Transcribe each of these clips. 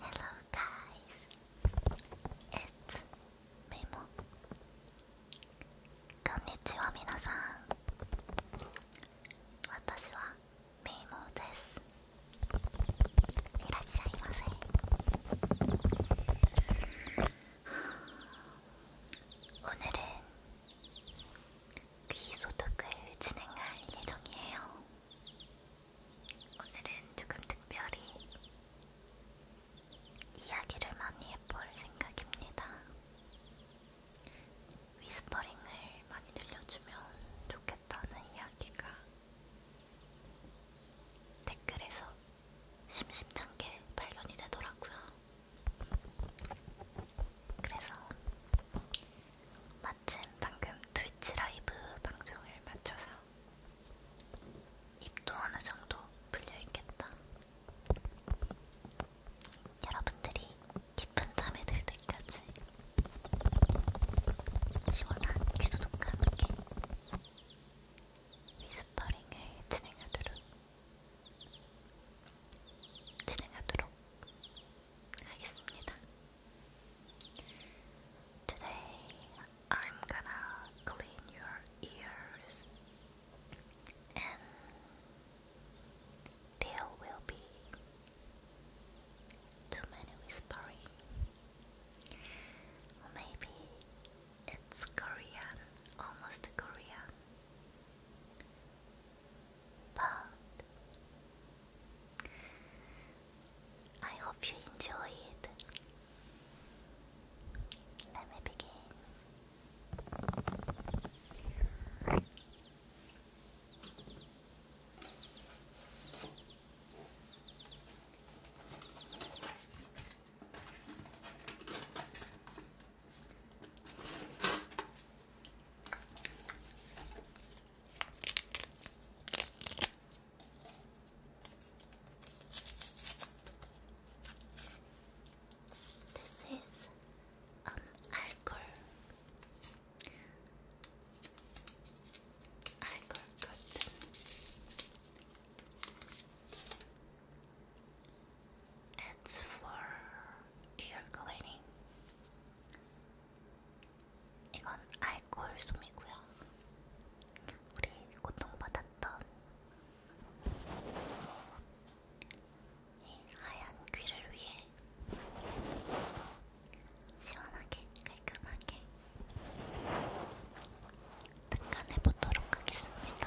Hello guys, it's Memo こんにちは皆さん私はメイモですいらっしゃいませ오늘은귀소독을진행할예정이에요 오늘은 조금 특별히 이야기를 많이 해볼 생각입니다. 위스퍼링을 많이 들려주면 좋겠다는 이야기가 댓글에서 심심찮게 발견이 되더라고요. 그래서 마침 방금 트위치 라이브 방송을 마쳐서 입도 어느 정도 풀려있겠다. 여러분들이 깊은 잠에 들 때까지 시원한 귀소독과 함께 위스퍼링을 진행하도록 진행하도록 하겠습니다. Today I'm gonna clean your ears and there will be too many whispering. maybe it's Korean, almost Korean. But I hope you enjoy it. Let me begin. This is um Arcor. Arcor cotton. It's for ear cleaning. 이건 알코올 솜이고요. 우리 고통받았던 이 하얀 귀를 위해 시원하게 깔끔하게 닦아내 보도록 하겠습니다.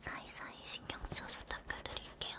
사이사이 신경 써서 닦아드릴게요.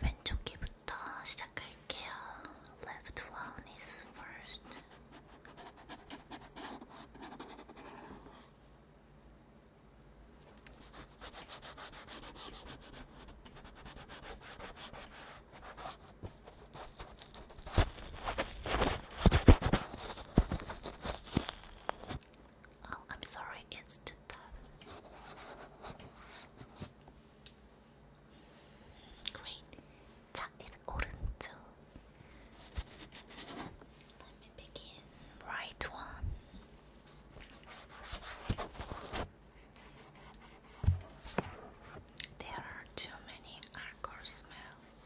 왼쪽기부터 시작할게요. Left one is first. Oh, I'm sorry, it's too tough. Great. That is golden Let me begin. Right one. There are too many alcohol smells.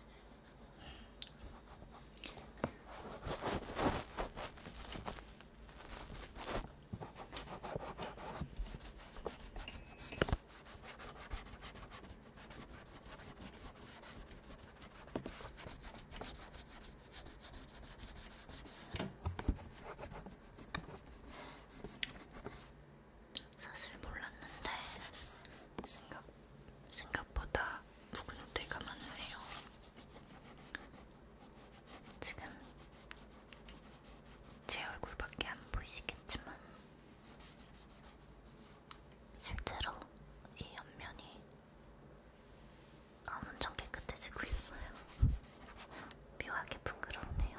사실 몰랐는데 생각, 생각보다 묵은 때가 많네요. 지금 제 얼굴밖에 안 보이시겠지만 실제로 이 옆면이 엄청 깨끗해지고 있어요. 묘하게 부끄럽네요.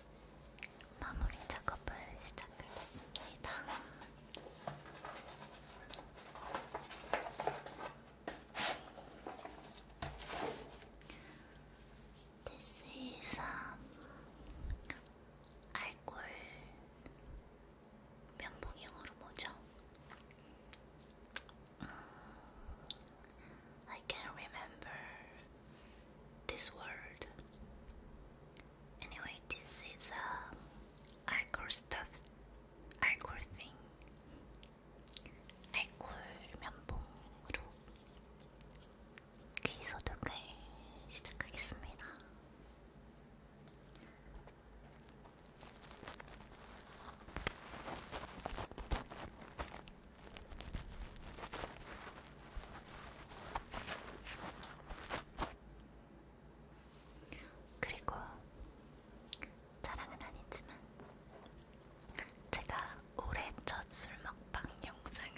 마무리 작업을 시작하겠습니다. This is um, 알콜 면봉 영어로 뭐죠? 음, I can remember this word. Anyway, this is a hardcore stuff, hardcore thing. 알콜 귀 소독을 시작하겠습니다. 그리고 자랑은 아니지만 제가 올해 첫 술 먹방 영상을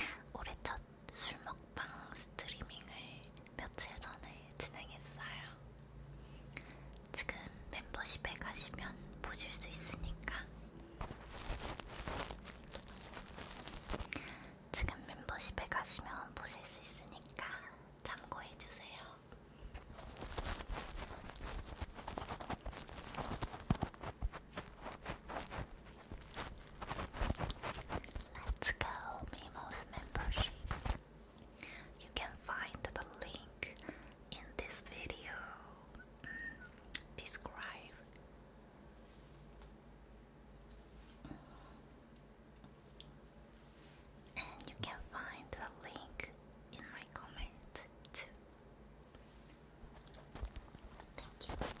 음, 올해 첫 술 먹방 스트리밍을 며칠 전에 진행했어요. 지금 멤버십에 가시면 보실 수 있으니까 지금 멤버십에 가시면 보실 수 있으니까 참고해주세요. Let's go, Mimo's membership. You can find the link in this video. Mm, describe and you can find the link in my comment Thank you.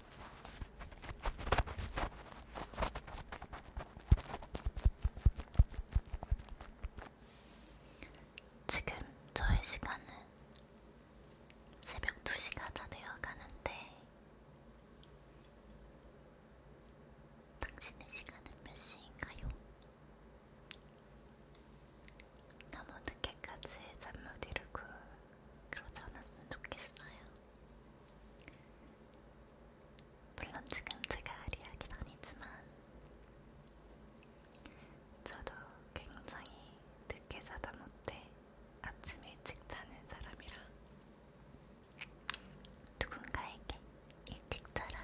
지금 저의 시간은 새벽 2시가 다 되어 가는데, 당신의 시간은 몇 시인가요? 너무 늦게까지 잠 못 이루고 그러지 않았으면 좋겠어요. 물론 지금 제가 리학이 아니지만 저도 굉장히 늦게 자다 못해 아침 일찍 자는 사람이라 누군가에게 일찍 자라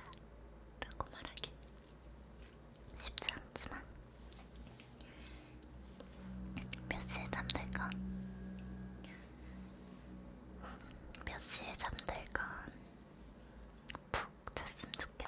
라고 말하기 쉽지 않지만 몇 시에 잠들건? 몇 시에 잠들건? 푹 잤으면 좋겠다.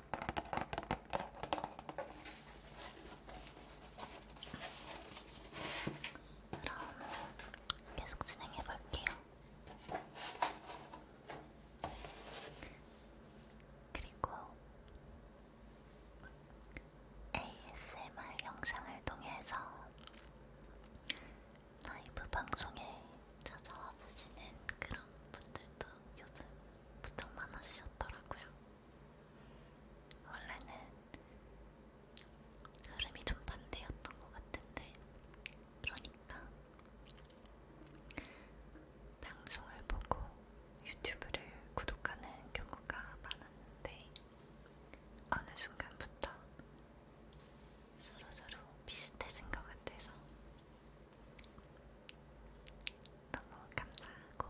그럼 계속 진행해 볼게요. 그리고 ASMR 영상을 통해서 라이브 방송에 찾아와 주시는 그런 분들도 요즘 부쩍 많아지셨더라고요. 원래는 흐름이 좀 반대였던 것 같은데, 그러니까 방송을 보고 유튜브를 구독하는 경우가 많았는데, 어느 순간부터 서로서로 비슷해진 것 같아서 너무 감사하고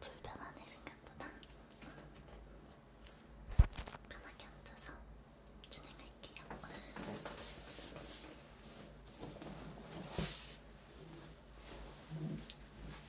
불편하네 생각보다 편하게 앉아서 진행할게요.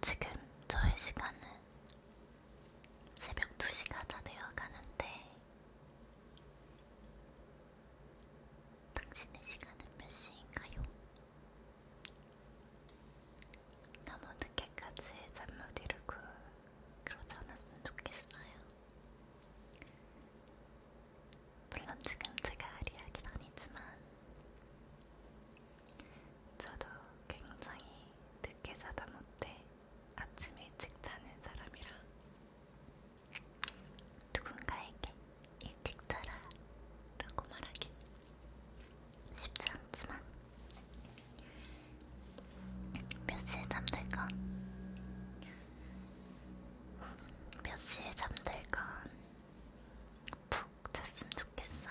지금 저의 시간은 새벽 2시가 다 되어가는데 당신의 시간은 몇 시인가요? 너무 늦게까지 잠 못 이루고 그러지 않았으면 좋겠어요. 물론 지금 제가 리하긴 아니지만 저도 굉장히 늦게 자다 못해 아침 일찍 자는 사람이라 누군가에게 일찍 자라 라고 말하긴 쉽지 않지만 몇 시에 잠들건 몇 시에 잠들건 푹 잤으면 좋겠어요.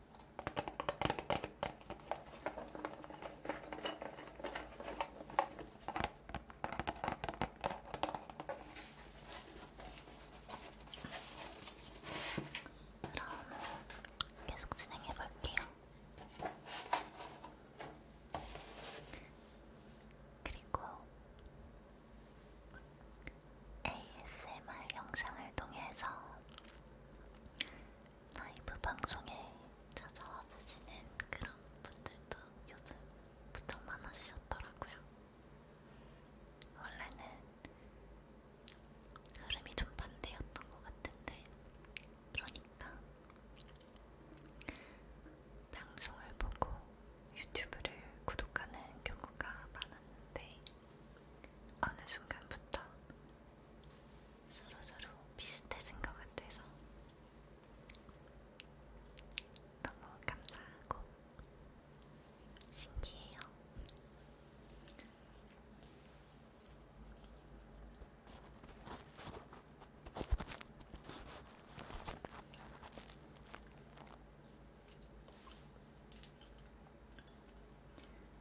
그럼 계속 진행해 볼게요. 그리고 ASMR 영상을 통해서 라이브 방송에 찾아와 주시는 그런 분들도 요즘 무척 많아지셨더라고요. 원래는 흐름이 좀 반대였던 것 같은데, 그러니까 방송을 보고 유튜브를 구독하는 경우가 많았는데, 어느 순간부터 서로서로 비슷해진 것 같아서 너무 감사하고 신기해요.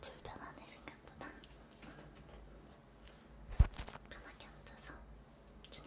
불편하네 생각보다 편하게 앉아서 진행할게요.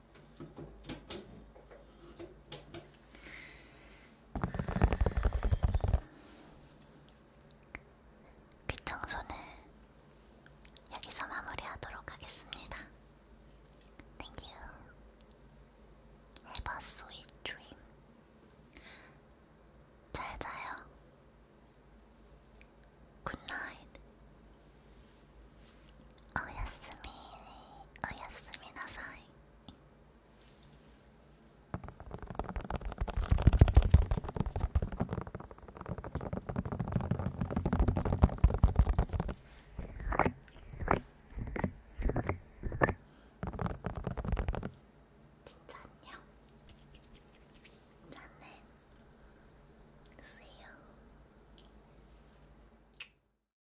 귀청소는 여기서 마무리하도록 하겠습니다. Thank you. Have a sweet dream. 잘 자요. Good night. 오야스미, 오야스미 나사이. 진짜 안녕. 짠해. See you.